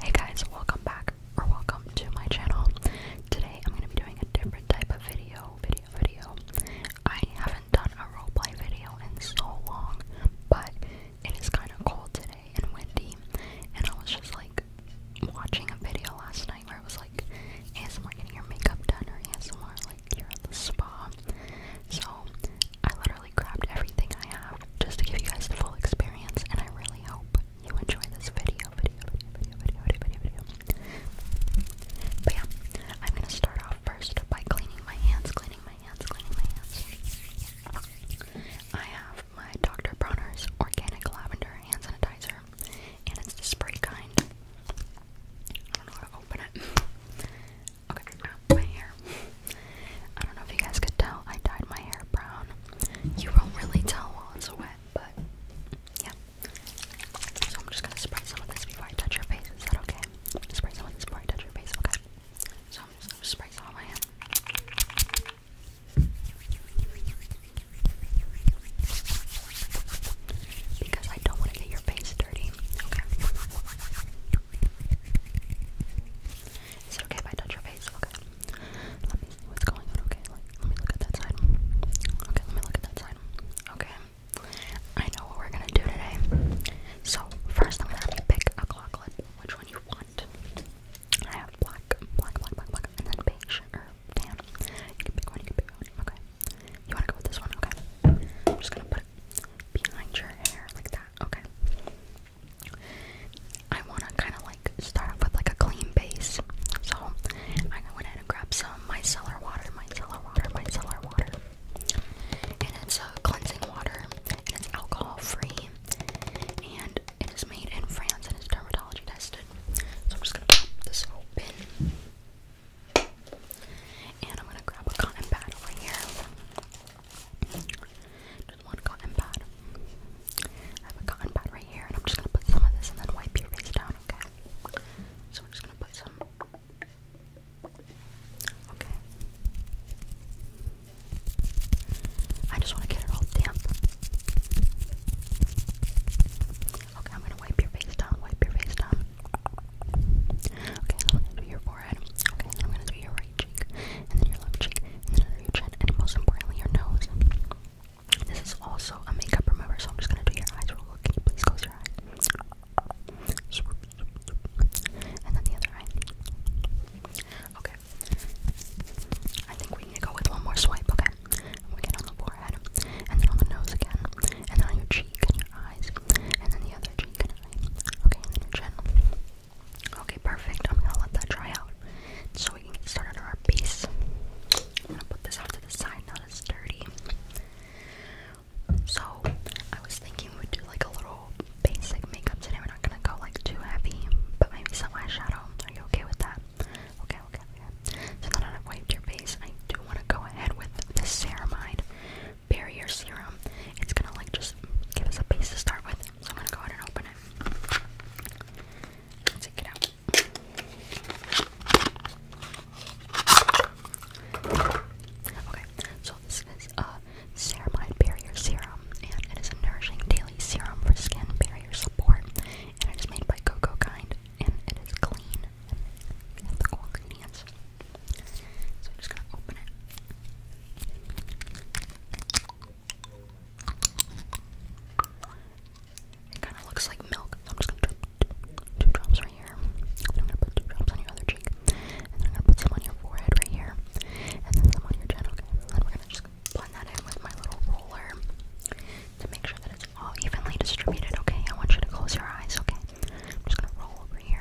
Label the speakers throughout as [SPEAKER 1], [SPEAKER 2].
[SPEAKER 1] Hey guys, welcome back or welcome to my channel. Today I'm going to be doing a different type of video, video, video. I haven't done a roleplay video in so long, but it is kind of cold today and windy, and I was just like watching a video last night where it was like ASMR getting her makeup done or ASMR like here at the spa. So I literally grabbed everything I have just to give you guys the full experience, and I really hope you enjoy this video, video, I'm gonna start off first by cleaning my hands, cleaning my hands, cleaning my hands. I have my Dr. Bronner's Organic Lavender Hand Sanitizer, and it's the spray kind. I don't know how to open it. Okay, my hair. I don't know if you guys could tell, I dyed my hair brown. You won't really tell while it's wet, but yeah. So I'm just gonna spray some of this before I touch your face. Is that okay? Spray some of this before I touch your face, okay? So I'm just gonna spray some on my hand. Because I don't want to get your face dirty. Okay. Is okay if I touch your face? Okay. Let me see what's going on, okay? Let, me look at that side. Okay, let me look at that side. Okay. I know what we're gonna do today. So, first I'm gonna have you pick a clock clip, which one you want. I have black, black, black, black, black, and then beige, or You can pick one, you can pick one, okay? You wanna go with this one, okay? I'm just gonna put it behind your hair, like that. Okay. I want to kind of like start off with like a clean base. So I went ahead and grabbed some micellar water, micellar water, micellar water. And it's a cleansing water it's alcohol free. And it is made in France and it's dermatology tested. So I'm just going to pop this open. And I'm going to grab a cotton pad over here. Just one cotton pad. I have a cotton pad right here, and I'm just gonna put some of this and then wipe your face down, okay? So I'm just gonna put some. Okay. I just want to get it all damp. Okay, I'm gonna wipe your face down, wipe your face down. Okay, I'm gonna do your forehead. Okay, then I'm gonna do your right cheek, and then your left cheek, and then your chin, and most importantly, your nose. This is also a makeup remover, so I'm just gonna do your eyes real quick. Can you please close your eyes? And then the other eye. Okay. I think we need to go with one more swipe, okay? We get on the forehead, and then on the nose again, and then on your cheek and your eyes, and then the other cheek Okay, chin. Okay, perfect. I'm gonna let that dry out so we can get started on our piece. I'm gonna put this off to the side now that dirty. So, I was thinking we'd do like a little basic makeup today. We're not gonna go like too heavy, but maybe some eyeshadow. Are you okay with that? Okay, okay, okay. So now that I've wiped your face, I do want to go ahead with the ceramide, barrier serum. It's gonna like just give us a base to start with. So I'm gonna go ahead and open it. take it out. Okay, so this is a ceramide barrier serum, and it is a nourishing daily serum for skin barrier support. And it is made by Coco Kind, and it is clean and the core I'm just gonna open it. kind of looks like milk, so I'm just gonna put two drops right here. I'm gonna put two drops on your other cheek. And I'm gonna put some on your forehead right here. And then some on your chin, okay? And we're gonna just blend that in with my little roller to make sure that it's all evenly distributed, okay? I want you to close your eyes, okay? I'm just gonna roll over here.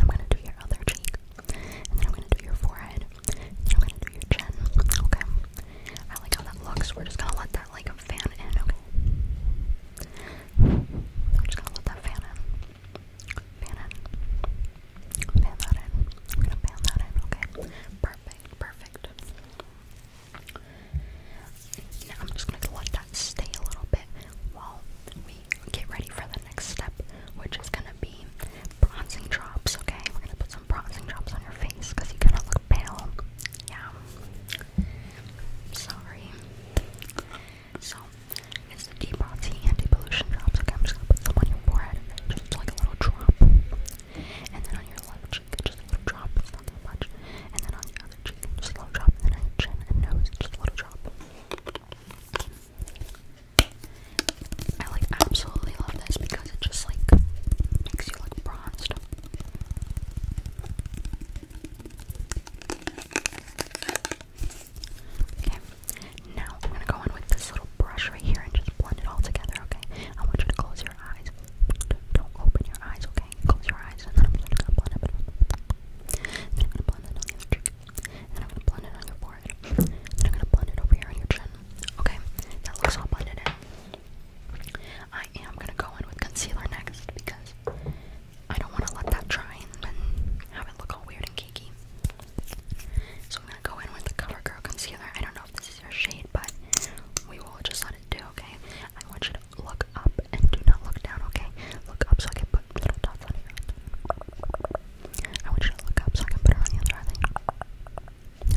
[SPEAKER 1] I'm gonna do your other cheek. And then I'm gonna do your forehead. And I'm gonna do your chin. Okay. I like how that looks. We're just gonna let that like fan in, okay? I'm just gonna let that fan in. Fan in. Fan that in. I'm gonna fan that in, okay? Perfect, perfect. Now I'm just going to let that stay a little bit while we get ready for the next step, which is going to be bronzing drops, okay? We're going to put some bronzing drops on your face because you kind of look pale. Yeah. sorry. So, it's the deep bronzing anti-pollution drops. Okay, I'm just going to put some on your forehead, just like a little drop. And then on your left cheek, just a little drop. not that much. And then on just a little drop, and then I chin and nose, just a little drop. I like absolutely love this because it just like makes you look bronzed. Okay, now I'm gonna go in with this little brush right here and just blend it all together, okay? I want you to close your eyes. Don't open your eyes, okay? Close your eyes, and I'm gonna blend it. on the cheek. Then I'm gonna blend it on your forehead. Then I'm gonna blend it over here on your chin. Okay, that looks all blended in. I am gonna go in with concealer next because I don't wanna let that dry and have it look all weird and cakey. So I'm gonna go in with the CoverGirl concealer. I don't know if this is your shade, but we will just let it do, okay? I want you to look up and do not look down, okay? Look up so I can put little dots on you. I want you to look up so I can put it on the other eye.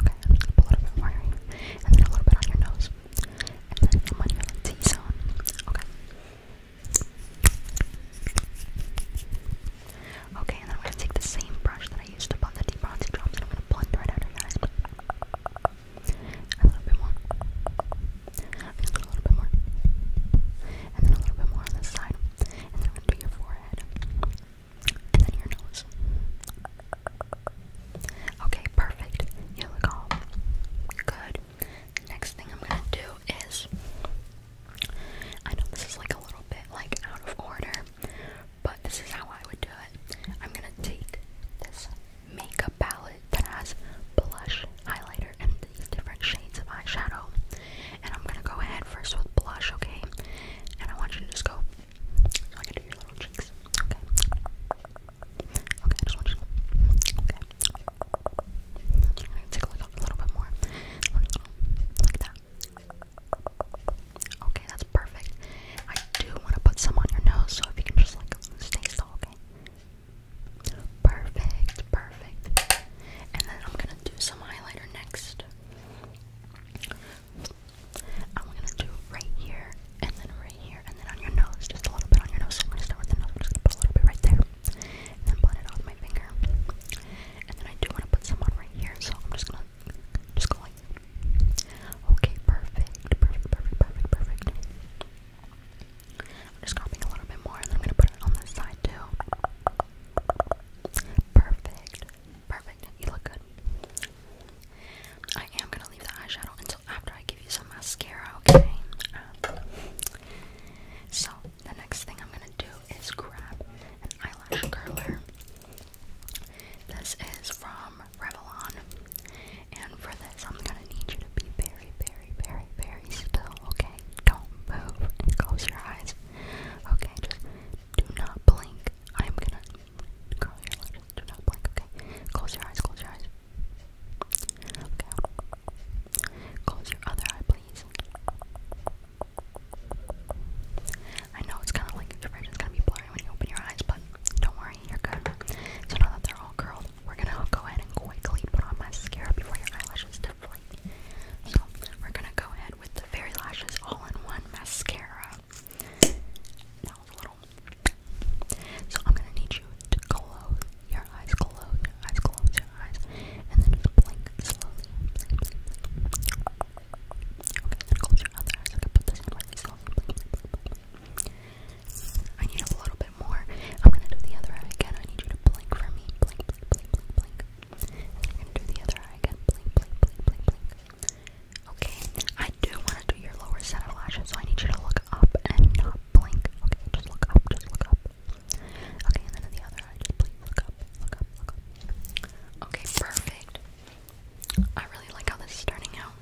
[SPEAKER 1] Okay, I'm just gonna put a little bit more here, and then a little bit on your nose, and then I'm on your T zone. Okay. Okay, and then I'm gonna take the same brush that I used to blend the deep bronzy drops, and I'm gonna blend right out of your eyes a little bit more, just a little bit more, and then a little bit more on this side, and then i your forehead, and then your nose. Okay, perfect. You look all good. Next thing I'm gonna do is, I know this is like a little bit like out of order, but this is how I would do it. I'm gonna take this makeup palette that has blush, highlighter, and these different shades of eyeshadow. And I'm gonna go ahead first with blush, okay? And I want you to just go. I can do your little cheeks, okay? Okay, I just want you to. Okay. I'm gonna take a little bit more. Like that. Okay, that's perfect. I do want to put some on your nose, so if you can just like stay still, okay. Perfect, perfect. And then I'm gonna do some highlighter next. I'm gonna do right here, and then right here, and then on your nose, just a little bit on your nose. I'm gonna start with the nose, I'm just gonna put a little bit right there, and then blend it off my finger. And then I do wanna put some on right here, so I'm just gonna just go like Okay, perfect, perfect, perfect, perfect, perfect. I'm just copying a little bit more and I'm gonna put it on this side too. Perfect, perfect. You look good. I am gonna leave the eyeshadow until after I give you some mascara, okay? Um, so, the next thing I'm gonna do is grab an eyelash curler. This is from Revlon. And for this, I'm gonna need you to be very, very, very, very still, okay? Don't move and close your eyes. Okay, just do not blink. I'm gonna curl your lips. Do not blink, okay? Close your eyes, close your eyes. Okay. Close your other eye, please. I know it's kind of like your vision's gonna be blurry when you open your eyes, but don't worry, right here, good. So now that they're all curled, we're gonna go ahead and quickly put on mascara before your eyelashes deflate. So we're gonna go ahead with the fairy lashes all-in-one mascara. That a little. So I'm gonna need you to close your eyes, close your eyes, close your eyes, and then blink slowly. Okay, close your other eyes. I can put this in really slowly. I need a little bit more. I'm gonna do the other eye again. I need you to blink for me. Blink, blink, blink, blink, blink. I'm gonna do the other eye again. Blink, blink, blink, blink, blink. Okay, I do wanna do your lower set of lashes, so I need you to look up and not blink. Okay, just look up, just look up. Okay, and then the other eye, just look up, look up, look up. Okay, perfect. I really like how this is turning out.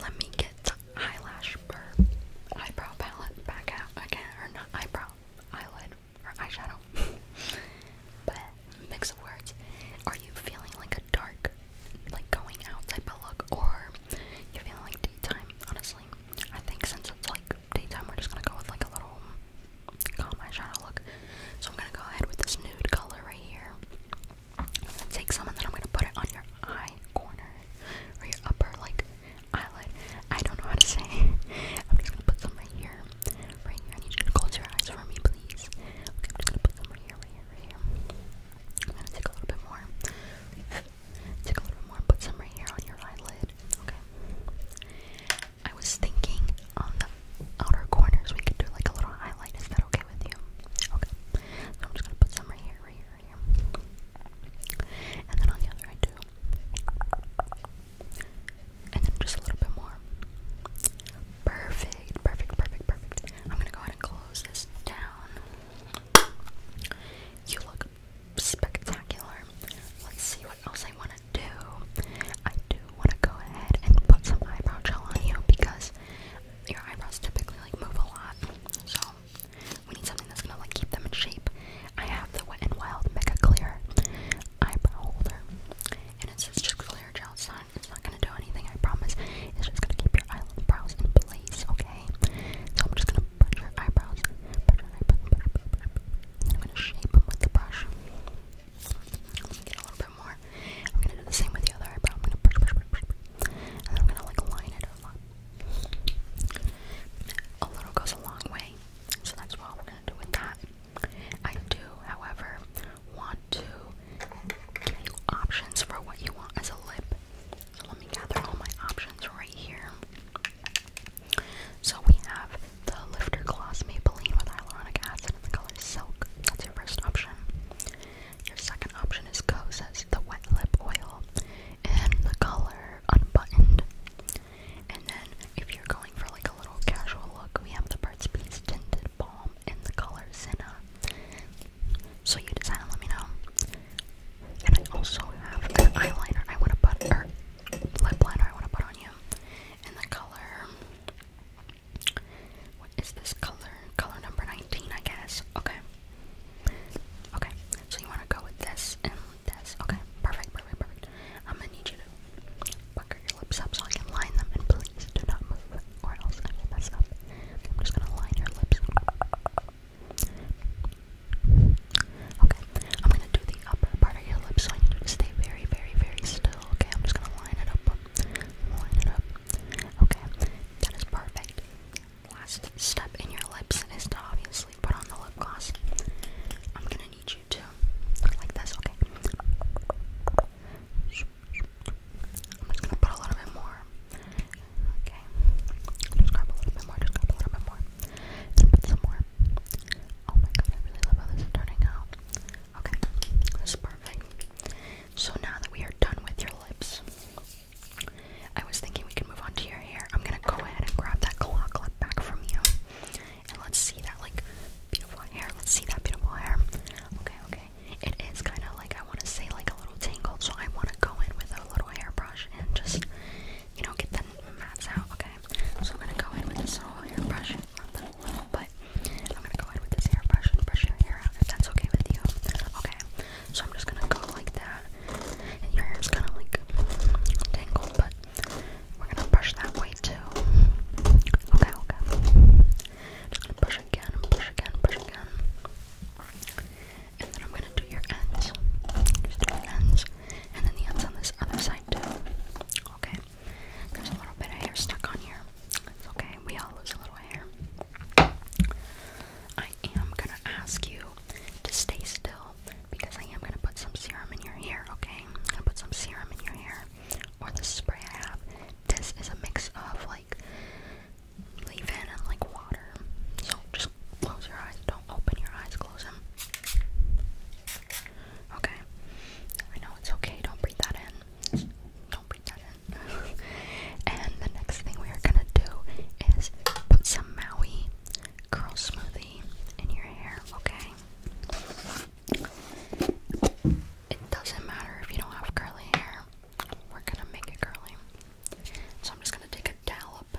[SPEAKER 1] Let me get eyelash eyebrow palette back out again, or not eyebrow, eyelid, or eyeshadow. but mix of words. Are you feeling like a dark, like going out type of look, or you feeling like daytime? Honestly, I think since it's like daytime, we're just gonna go with like a little calm eyeshadow look. So I'm gonna go ahead with this nude color right here. I'm gonna take some and then I'm gonna put it on your eye corner or your upper like eyelid. I don't know how to say. I'm just gonna put some right here, right here. I need you to close your eyes for me, please. Okay, I'm just gonna put some right here, right here, right here. I'm gonna take a little bit more. Take a little bit more. Put some right here on your eyelid. Okay. I was thinking on um, the outer corners, we could do like a little highlight. Is that okay with you? Okay. So I'm just gonna put some right here, right here, here. And then on the other I do. And then just a little bit more. Perfect, perfect, perfect, perfect. I'm gonna go ahead and close this down. You look spectacular. Let's see what else I wanna do. I do want to go ahead and put some eyebrow gel on you because your eyebrows typically like move a lot. So we need something that's gonna like keep them in shape. I have the Wet n Wild Mega Clear eyebrow holder, and it's just clear gel. It's it's not gonna do anything. I promise. It's just gonna keep your eyebrows in place. Okay. So I'm just gonna bunch your eyebrows, bunch your eyebrows, and shape them with the brush. Let me get a little bit more. I'm gonna do the same with the other eyebrow. I'm gonna push, push, push, push, and then I'm gonna like line it a lot. A little goes a long way, so that's what we're gonna do with that. I do, however, want to give you options for what you want as a lip. So let me gather all my options right here. So we have the Lifter Gloss Maybelline with hyaluronic acid in the color Silk. That's your first option. Your second option is Cose's the Wet Lip Oil in the color Unbuttoned. And then if you're going for like a little casual look, we have the Burt's Bees Tinted Balm in the color Zena. So you decide and let me know. And I also have an eyeliner I want to put, or lip liner I want to put on you in the color what is this color? Color number 19, I guess. Okay. Okay, so you want to go with this and this. Okay, perfect, perfect, perfect. I'm gonna need you to pucker your lips up so I can line them, and please do not move, or else I will mess up. I'm just gonna line your lips. Okay, I'm gonna do the part of your lips, so I stay very, very, very still. Okay, I'm just gonna line it up. Line it up. Okay, that is perfect. Last step in your lips is to obviously put on the lip gloss. I'm gonna need you to, like this, okay? I'm just gonna put a little bit more. Okay. Just grab a little bit more, just grab a little bit more. And put some more. Oh my god, I really love how this is turning out. Okay, that's perfect. So now that we are done with your lips, I was thinking we can move on to your hair. I'm gonna go ahead and grab that claw clip back from you, and let's see that like beautiful hair. Let's see that beautiful hair. Okay, okay. It is kind of like I want to say like a little tangled, so I want to go in with a little hairbrush and just you know get the mats out. Okay, so I'm gonna go in with this little hairbrush not that but I'm gonna go ahead with this hairbrush and brush your hair out if that's okay with you. Okay, so I'm just gonna go like that, and your hair is kind of like tangled, but we're gonna brush that way too. Okay, okay. brush again, brush again, brush again. And then I'm gonna do your ends. do your ends. And then the ends on this other side too. Okay. There's a little bit of hair stuck on here. It's okay, we all lose a little hair. I am gonna ask you to stay still because I am gonna put some serum in your hair, okay? I'm gonna put some serum in your hair or the spray I have. This is a mix of like leave in and like water. So just close your eyes. Don't open your eyes, close them. Okay. I know it's okay. Don't breathe that in. Don't breathe that in. and the next thing we are gonna do is put some Maui curl smoothie in your hair. Okay. It doesn't matter if you don't have curly hair. We're gonna make it curly. So I'm just gonna take a dollop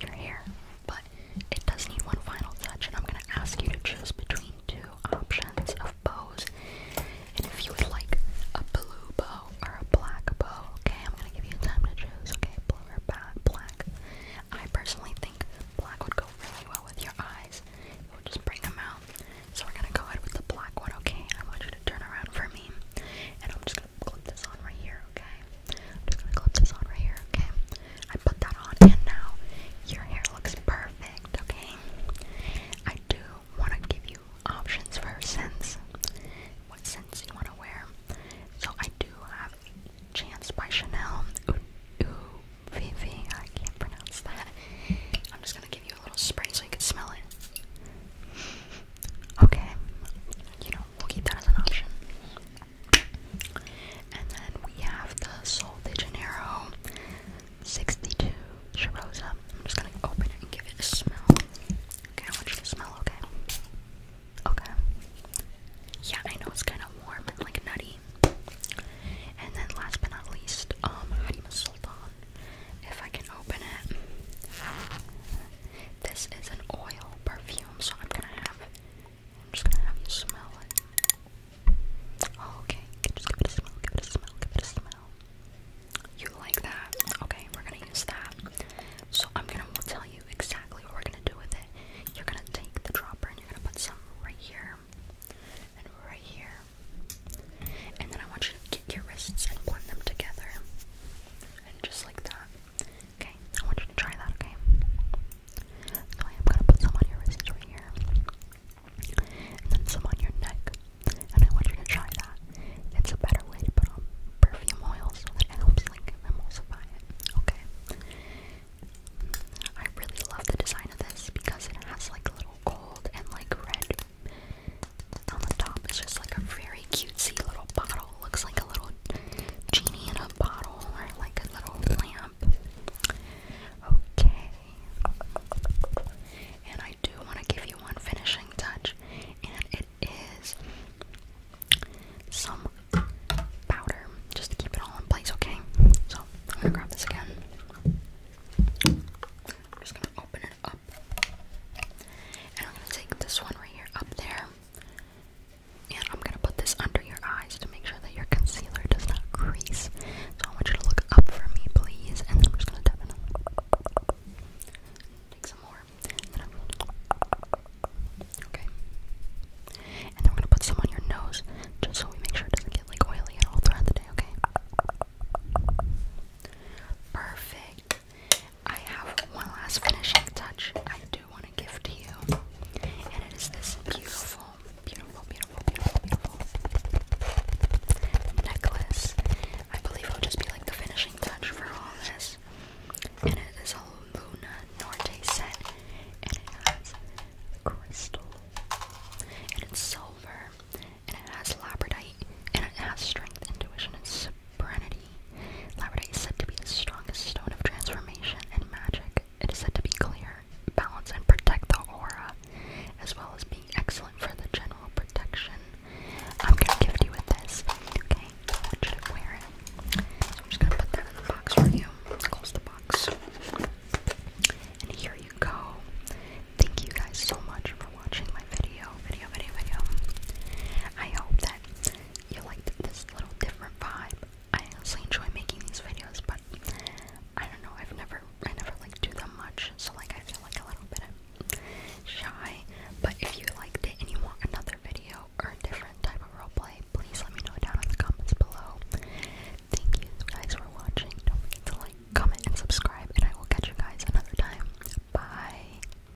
[SPEAKER 1] your hair, but it does need one final touch, and I'm gonna ask you to choose between two options of bows. And if you would like a blue bow or a black bow, okay, I'm gonna give you time to choose, okay, blue or black. Black. I personally think black would go really well with your eyes. It would just bring them out. So we're gonna go ahead with the black one, okay? I want you to turn around for me, and I'm just gonna clip this on right here, okay? I'm just gonna clip this on right here, okay? I put that on, and now your hair looks perfect, okay? I do want to give you options for scents, what scents you want to wear. So I do have Chance by Chanel. Ooh, I can't pronounce that. I'm just gonna give you a little spray so you can smell it. Okay, you know, we'll keep that as an option. And then we have the Sol de Janeiro 62 Shirosa. I'm just gonna open it and give it a smell. Okay, I want you to smell, okay? Okay. Yeah, I know it's kind of warm and like nutty. And then last but not least, um, Harima Sultan. If I can open it. This is an oil perfume, so I'm gonna have I'm just gonna have you smell it. Oh, okay. Just give it a smell, give it a smell, give it a smell. You like that? Okay, we're gonna use that. So I'm gonna tell you exactly what we're gonna do with it. You're gonna take the dropper and you're gonna put some right here and right here. And then I want you to get your wrists and blend them together. And just like that. Okay, I want you to try that, okay? I am gonna put some on your wrists right here. And then some on your neck. And I want you to try that. It's a better way to put on perfume oil it helps like emulsify it. Okay. I really love the design of this because it has like little gold and like red on the top. It's just like a very cutesy little bottle looks like a little genie in a bottle or like a little lamp. Okay. And I do want to give you one finishing touch, and it is some powder just to keep it all in place, okay? So I'm gonna grab this again. I'm just gonna open it up, and I'm gonna take this one right here up there, and I'm gonna put this under your eyes to make sure that your concealer does not crease. So I want you to look up for me, please. And then I'm just gonna Take some more. okay. And then we're gonna put some on your nose, just so we make sure it doesn't get like oily at all throughout the day. Okay. Perfect. I have one last finishing touch I do want to give to you, and it is this beautiful, beautiful, beautiful, beautiful, beautiful necklace. I believe it'll just be like the finishing touch for all this. And it is a Luna Norte set, and it has crystal, and it's silver, and it has labradorite, and it has strength, intuition. It's Serenity. Labradorite is said to be the strongest stone of transformation and magic. It is said to be clear, balance, and protect the aura, as well as being excellent for the general protection. I'm gonna gift you with this, okay? I want you to wear it. So I'm just gonna put that in the box for you. Close the box. And here you go. Thank you guys so much for watching my video, video, video, video. I hope that you liked this little different vibe. I honestly enjoy making these videos, but I don't know, I've never I never like do them much, so like I feel like a little bit shy. But if you liked it and you want another video or a different type of roleplay, please let me know down in the comments below. Thank you guys for watching. Don't forget to like, comment, and subscribe, and I will catch you guys another time. Bye.